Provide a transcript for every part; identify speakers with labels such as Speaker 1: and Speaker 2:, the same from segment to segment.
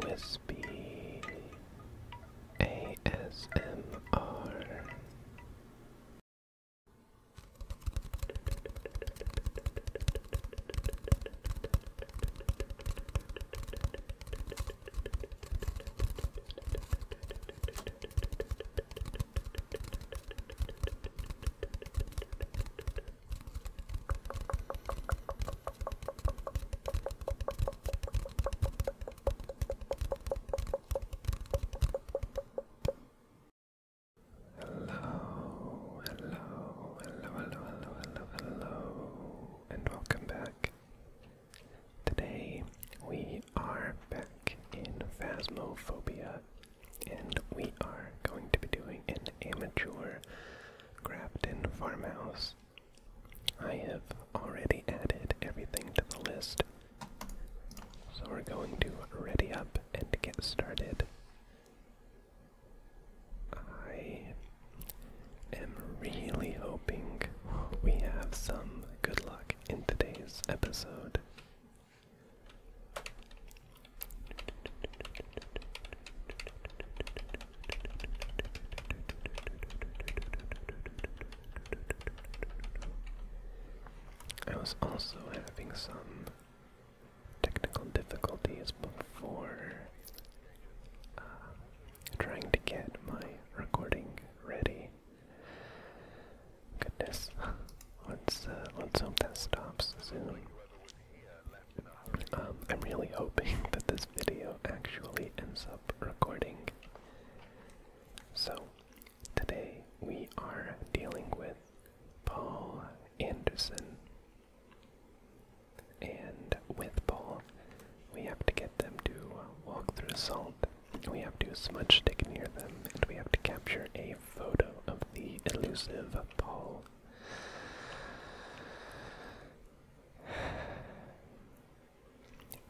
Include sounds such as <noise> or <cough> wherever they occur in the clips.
Speaker 1: Whispy ASMR. Hello, hello, hello, hello, hello, hello, hello, and welcome back. Today we are back in Phasmophobia, and we are going to be doing an amateur Grafton Farmhouse. I have already added everything to the list, so we're going to ready up and get started. I am really hoping we have some good luck in today's episode. I was also having some technical difficulties before uh, trying to get my recording ready. Goodness, <laughs> let's uh, let's hope that stops soon. Um, I'm really hoping <laughs> that this video actually ends up recording. So, today we are dealing with Paul Anderson. And with Paul, we have to get them to walk through salt, we have to smudge stick near them, and we have to capture a photo of the elusive Paul.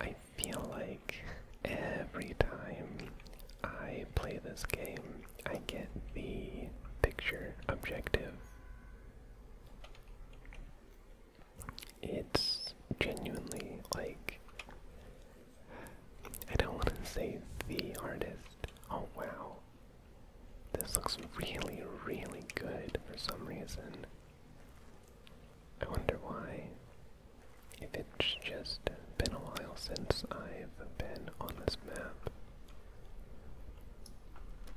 Speaker 1: I feel like every time I play this game, I get the picture objective. It's genuinely like. I don't want to say the hardest. Oh wow. This looks really, really good for some reason. I wonder why. If it's just been a while since I've been on this map.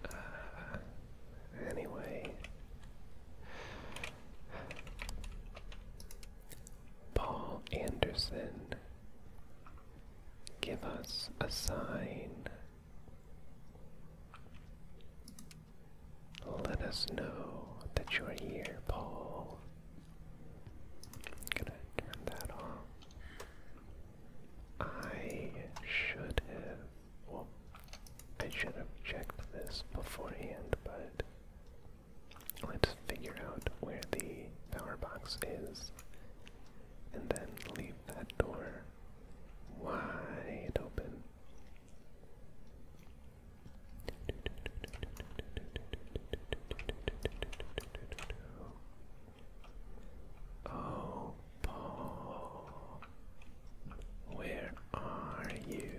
Speaker 1: Uh, anyway. Paul Anderson, give us a sign. Let us know that you are here, Paul. i gonna turn that off. I should have. Well, I should have checked this beforehand, but let's figure out where the power box is and then leave that door wide open. Oh, Paul, where are you?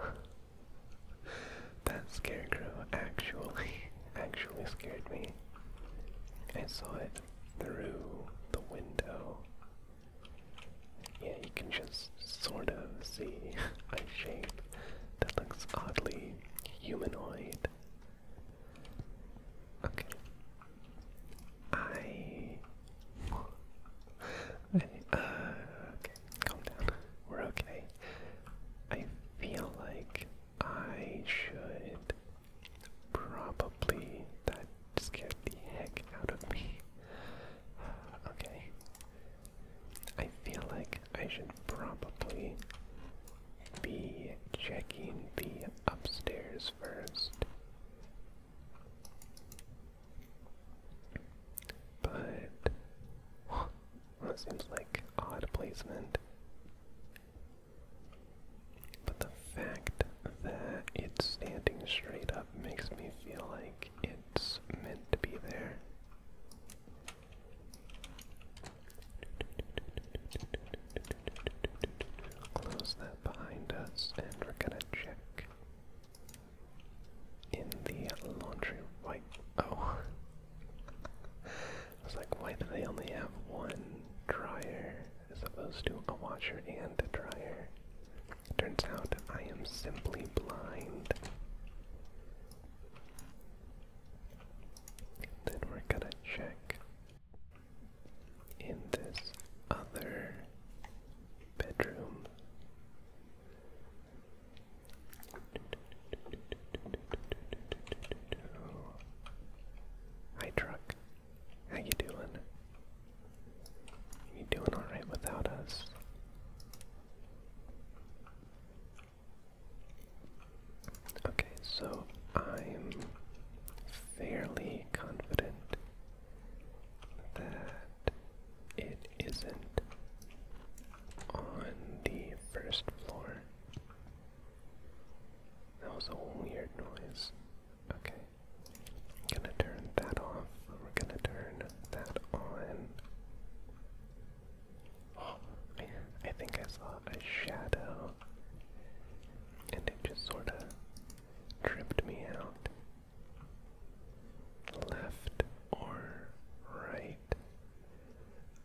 Speaker 1: <laughs> that scarecrow actually, actually scared me. I saw it through the window. Yeah, you can just sort of see <laughs> a shape that looks oddly humanoid. Okay. I. I uh, okay, calm down. We're okay. I feel like I should probably. That scared the heck out of me. <sighs> Okay. I feel like I should probably be checking the upstairs first. But. <gasps> that seems like odd placement. But the fact that it's standing straight up makes me feel like it's meant to be there. Close that behind us, and we're gonna check in the laundry wipe. Oh, <laughs> I like, why do they only have one dryer? as opposed to a washer and a dryer. Turns out I am simply blind. Then we're gonna check in this other bedroom. Hi, truck. How you doing? You doing all right without us? Okay, so I'm fairly confident that it isn't on the first floor. That was a weird noise. Okay. I'm gonna turn that off. We're gonna turn that on. Oh, I, think I saw a shadow. And it just sorta tripped me out. Left or right?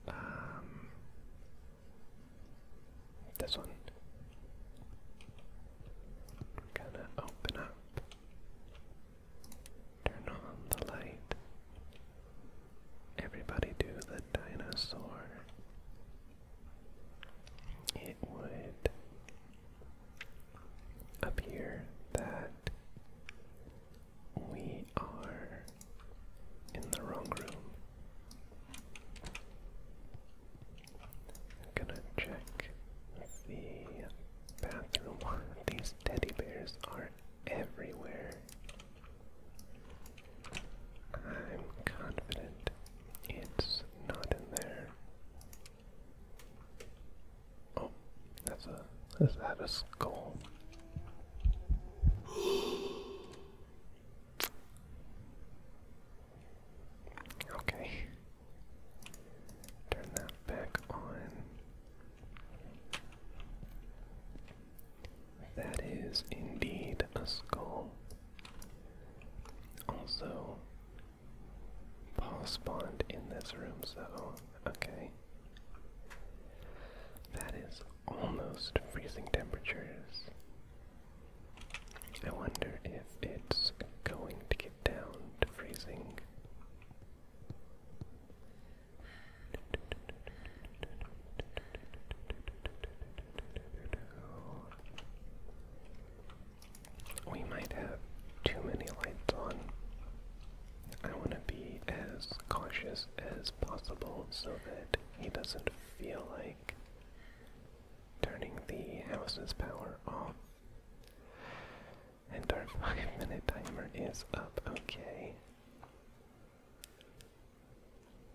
Speaker 1: Um, this one. gonna open up. Turn on the light. Everybody do the dinosaur. It would appear that we are in the wrong room. I'm gonna check the bathroom. <laughs> These teddy bears are everywhere. I'm confident it's not in there. Oh, that's a is that a skull? Okay. Turn that back on. That is indeed a skull. Also, Paul spawned in this room, so okay. That is almost freezing temperatures. I wonder if it's going to get down to freezing. We might have too many lights on. I want to be as cautious as possible so that he doesn't feel like turning the house's power off. And our five minute timer is up, okay.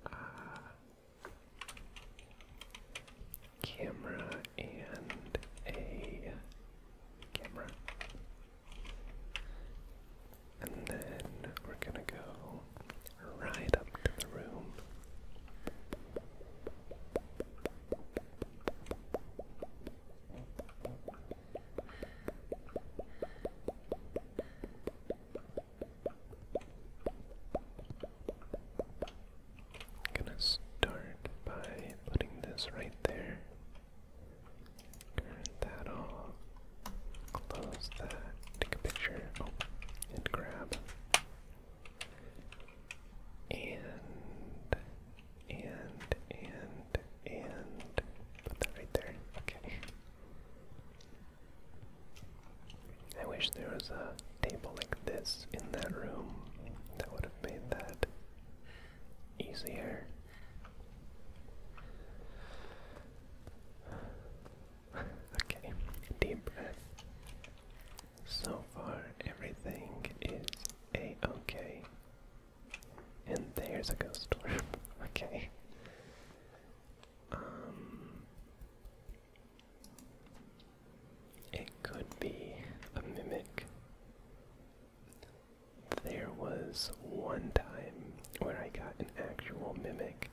Speaker 1: Uh, camera and a camera. And then we're gonna go right up to the room. gonna start by putting this right there. Turn that off. Close that. Take a picture. Oh, and grab and, and, and, and. Put that right there. Okay. I wish there was a table like this in that room. That would have made that easier okay, deep breath. So far, everything is a okay. And there's a ghost <laughs> okay. Um, it could be a mimic. There was one time where I got an actual mimic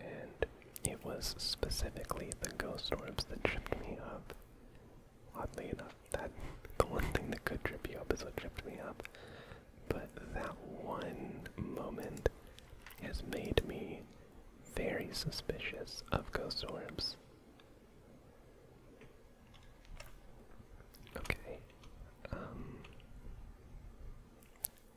Speaker 1: and it was specifically the ghost orbs that tripped me up. Oddly enough, that <laughs> the one thing that could trip you up is what tripped me up. But that one moment has made me very suspicious of ghost orbs. Okay. Um,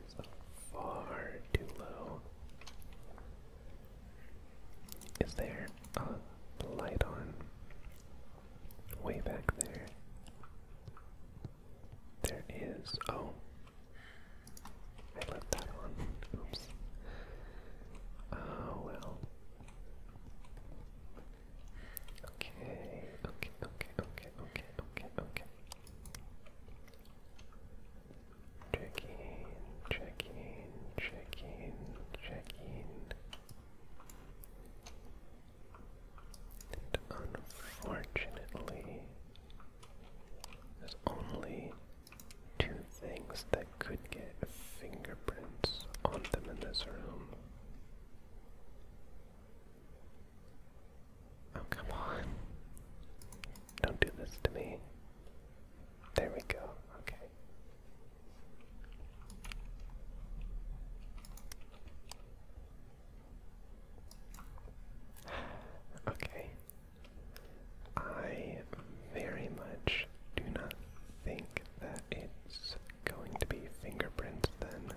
Speaker 1: is far too low. Is there a light on way back there? There is. Oh. I left that on. Oops. Oh, well. Okay, okay, okay, okay, okay, okay, okay, Checking, checking, checking, checking. And unfortunately, there's only two things that could get fingerprints on them in this room. Oh, come on. Don't do this to me. There we go. Okay. Okay. I very much do not think that it's going to be fingerprints then.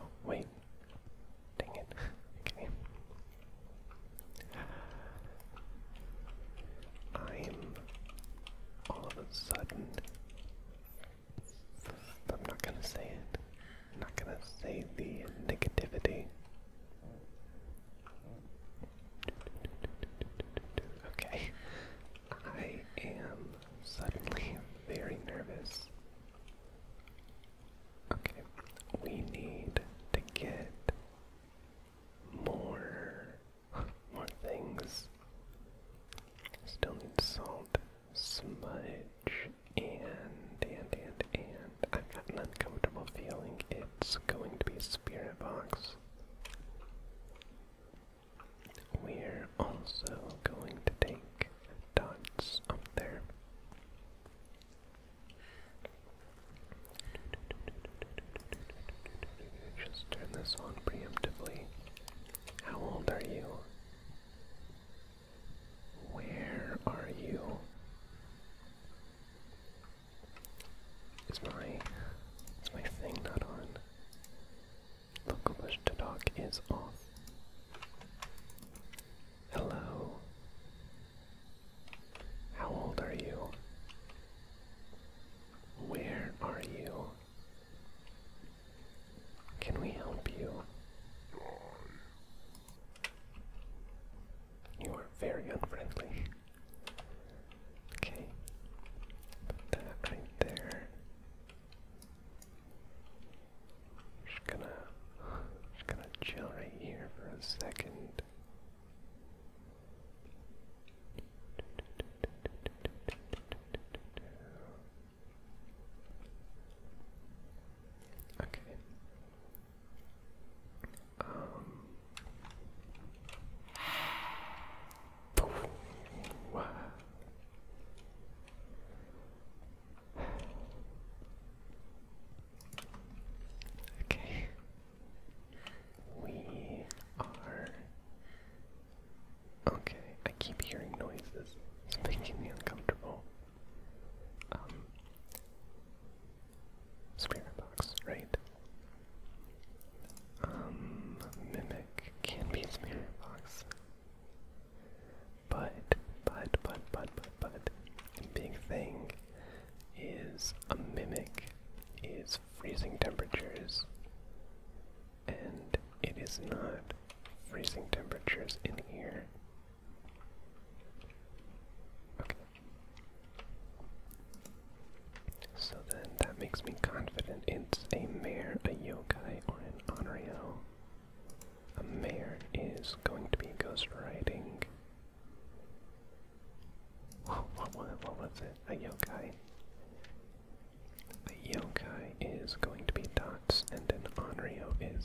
Speaker 1: Oh, wait. Dang it. okay. I'm all of a sudden. I'm not gonna say it. I'm not gonna say the negativity. Okay. I am suddenly very nervous Okay, we need to get more more things. Still need salt, smudge, and and and and I've got an uncomfortable feeling it's going to be a spirit box. We're also going to take dots up there. Just turn this on preemptively. How old are you? Where are you? Is my is my thing not on? Local push to dock is off. Hello. How old are you? Where are you? Can we help you? You are very unfriendly. Okay. right there. Just gonna, just gonna chill right here for a second. Okay. Um. <sighs> Wow. Okay. We are. Okay, I keep hearing noises. It's making me uncomfortable. Um. Spirit right? Um, mimic can be spirit but, but, but, but, but, the big thing is a mimic is freezing temperatures, and it is not freezing temperatures in here. Okay. So then that makes me confident it's a mare, a yokai, or an Onryo a mayor is going to be ghostwriting. What, what, what was it? A yokai. The yokai is going to be Dots, and then Onryo is.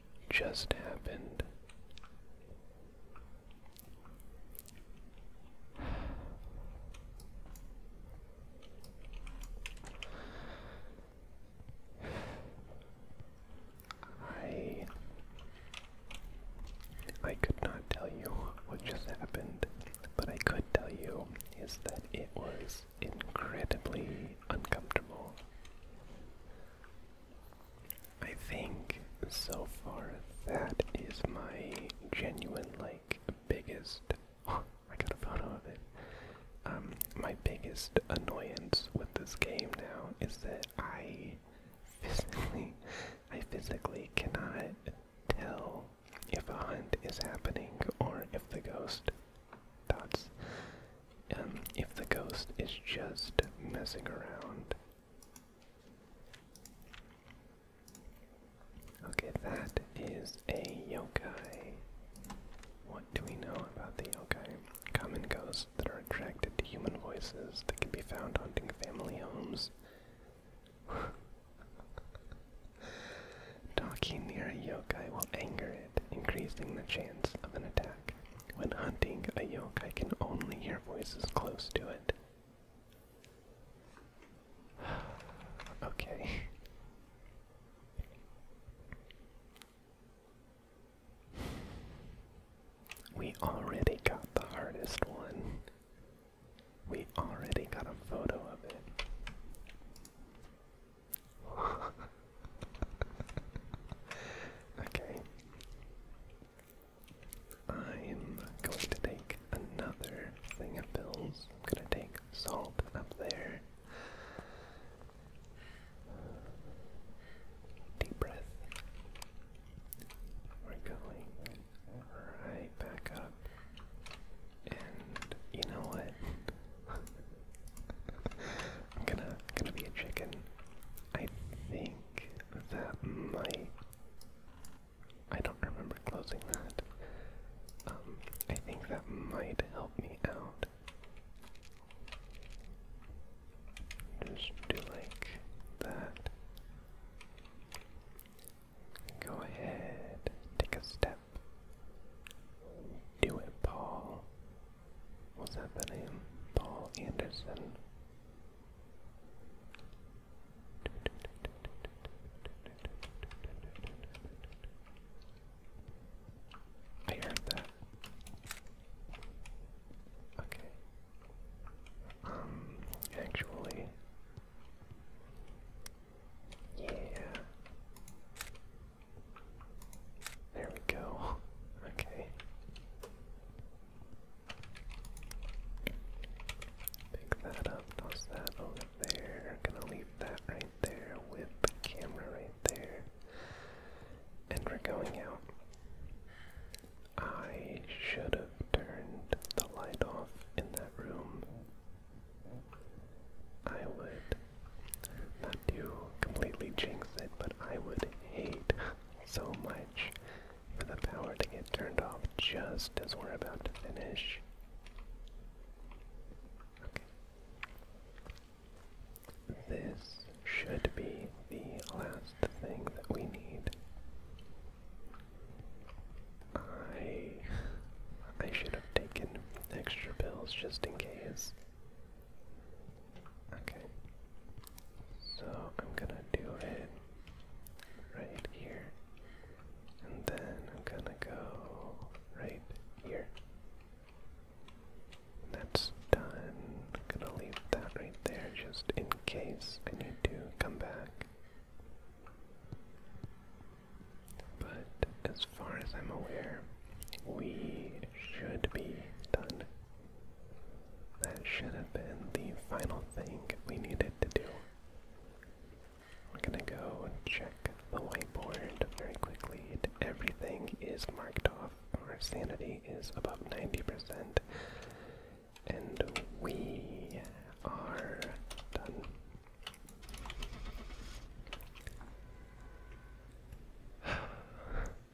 Speaker 1: just happened. I I could not tell you what just happened, but I could tell you is that it was incredibly uncomfortable. I think so far that is my genuine, like, biggest. <laughs> I got a photo of it. Um, my biggest annoyance with this game now is that I physically, I physically cannot tell if a hunt is happening or if the ghost thoughts. Um, if the ghost is just messing around. Okay, that is a yokai. What do we know about the yokai? Common ghosts that are attracted to human voices that can be found haunting family homes. <laughs> Talking near a yokai will anger it, increasing the chance of an attack. When hunting a yoke, I can only hear voices close to it. <sighs> okay. We already got the hardest one. We already got a photo of it. <laughs> okay. I'm going to take another thing of pills. I'm going to take salt up there. Deep breath. We're going right back up. And you know what? <laughs> I'm gonna gonna be a chicken. I think that might. I don't remember closing that. Um, I think that might help me out. Just do like that. Go ahead, take a step. Do it, Paul. What's that the name? Paul Anderson. I heard that. Okay. Um, actually, yeah, there we go. <laughs> Okay. Pick that up, toss that over there. Gonna leave that right there with the camera right there. And we're going out. I should have turned the light off in that room. I would not to completely jinx it, but I would hate so much for the power to get turned off just as we're about to finish. This should be the last thing that we need. I I should have taken extra pills just in case. Okay. So I'm gonna do it right here. And then I'm gonna go right here. that's done. I'm gonna leave that right there just in case I need to come back. But as far as I'm aware, we should be done. That should have been the final thing we needed to do. We're gonna go check the whiteboard very quickly. Everything is marked off. Our sanity is above 90%. And we are done. <sighs>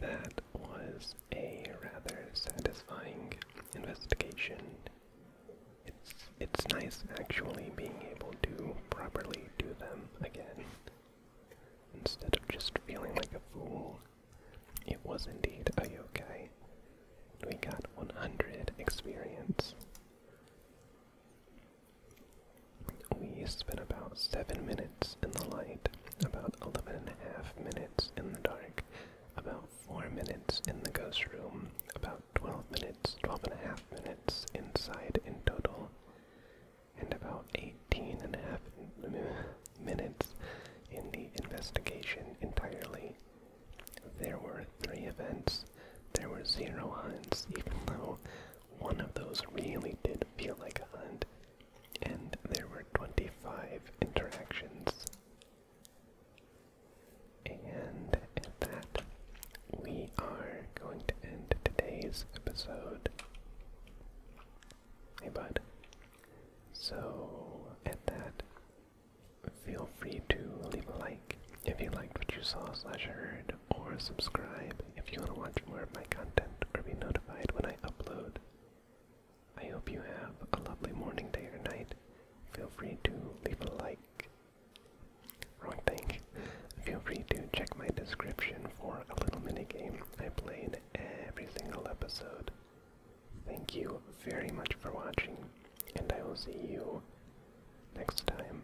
Speaker 1: That was a rather satisfying investigation. It's it's nice actually being able to properly do them again. Instead of just feeling like a fool. It was indeed a yokai. We got 100 experience. We spent about 7 minutes in the light, about 11 and a half minutes in the dark, about 4 minutes in the ghost room, about 12 minutes, 12 and a half minutes inside in total, and about 18 and a half minutes in the investigation entirely. There were three events. There were zero hunts, even though one of those really did feel like a hunt, and there were 25 interactions. And at that, we are going to end today's episode. Hey, bud. So, at that, feel free to leave a like if you liked what you saw slash heard, or subscribe if you want to watch more of my content or be notified when I upload. I hope you have a lovely morning, day, or night. Feel free to leave a like. Wrong thing. Feel free to check my description for a little mini game I played every single episode. Thank you very much for watching, and I will see you next time.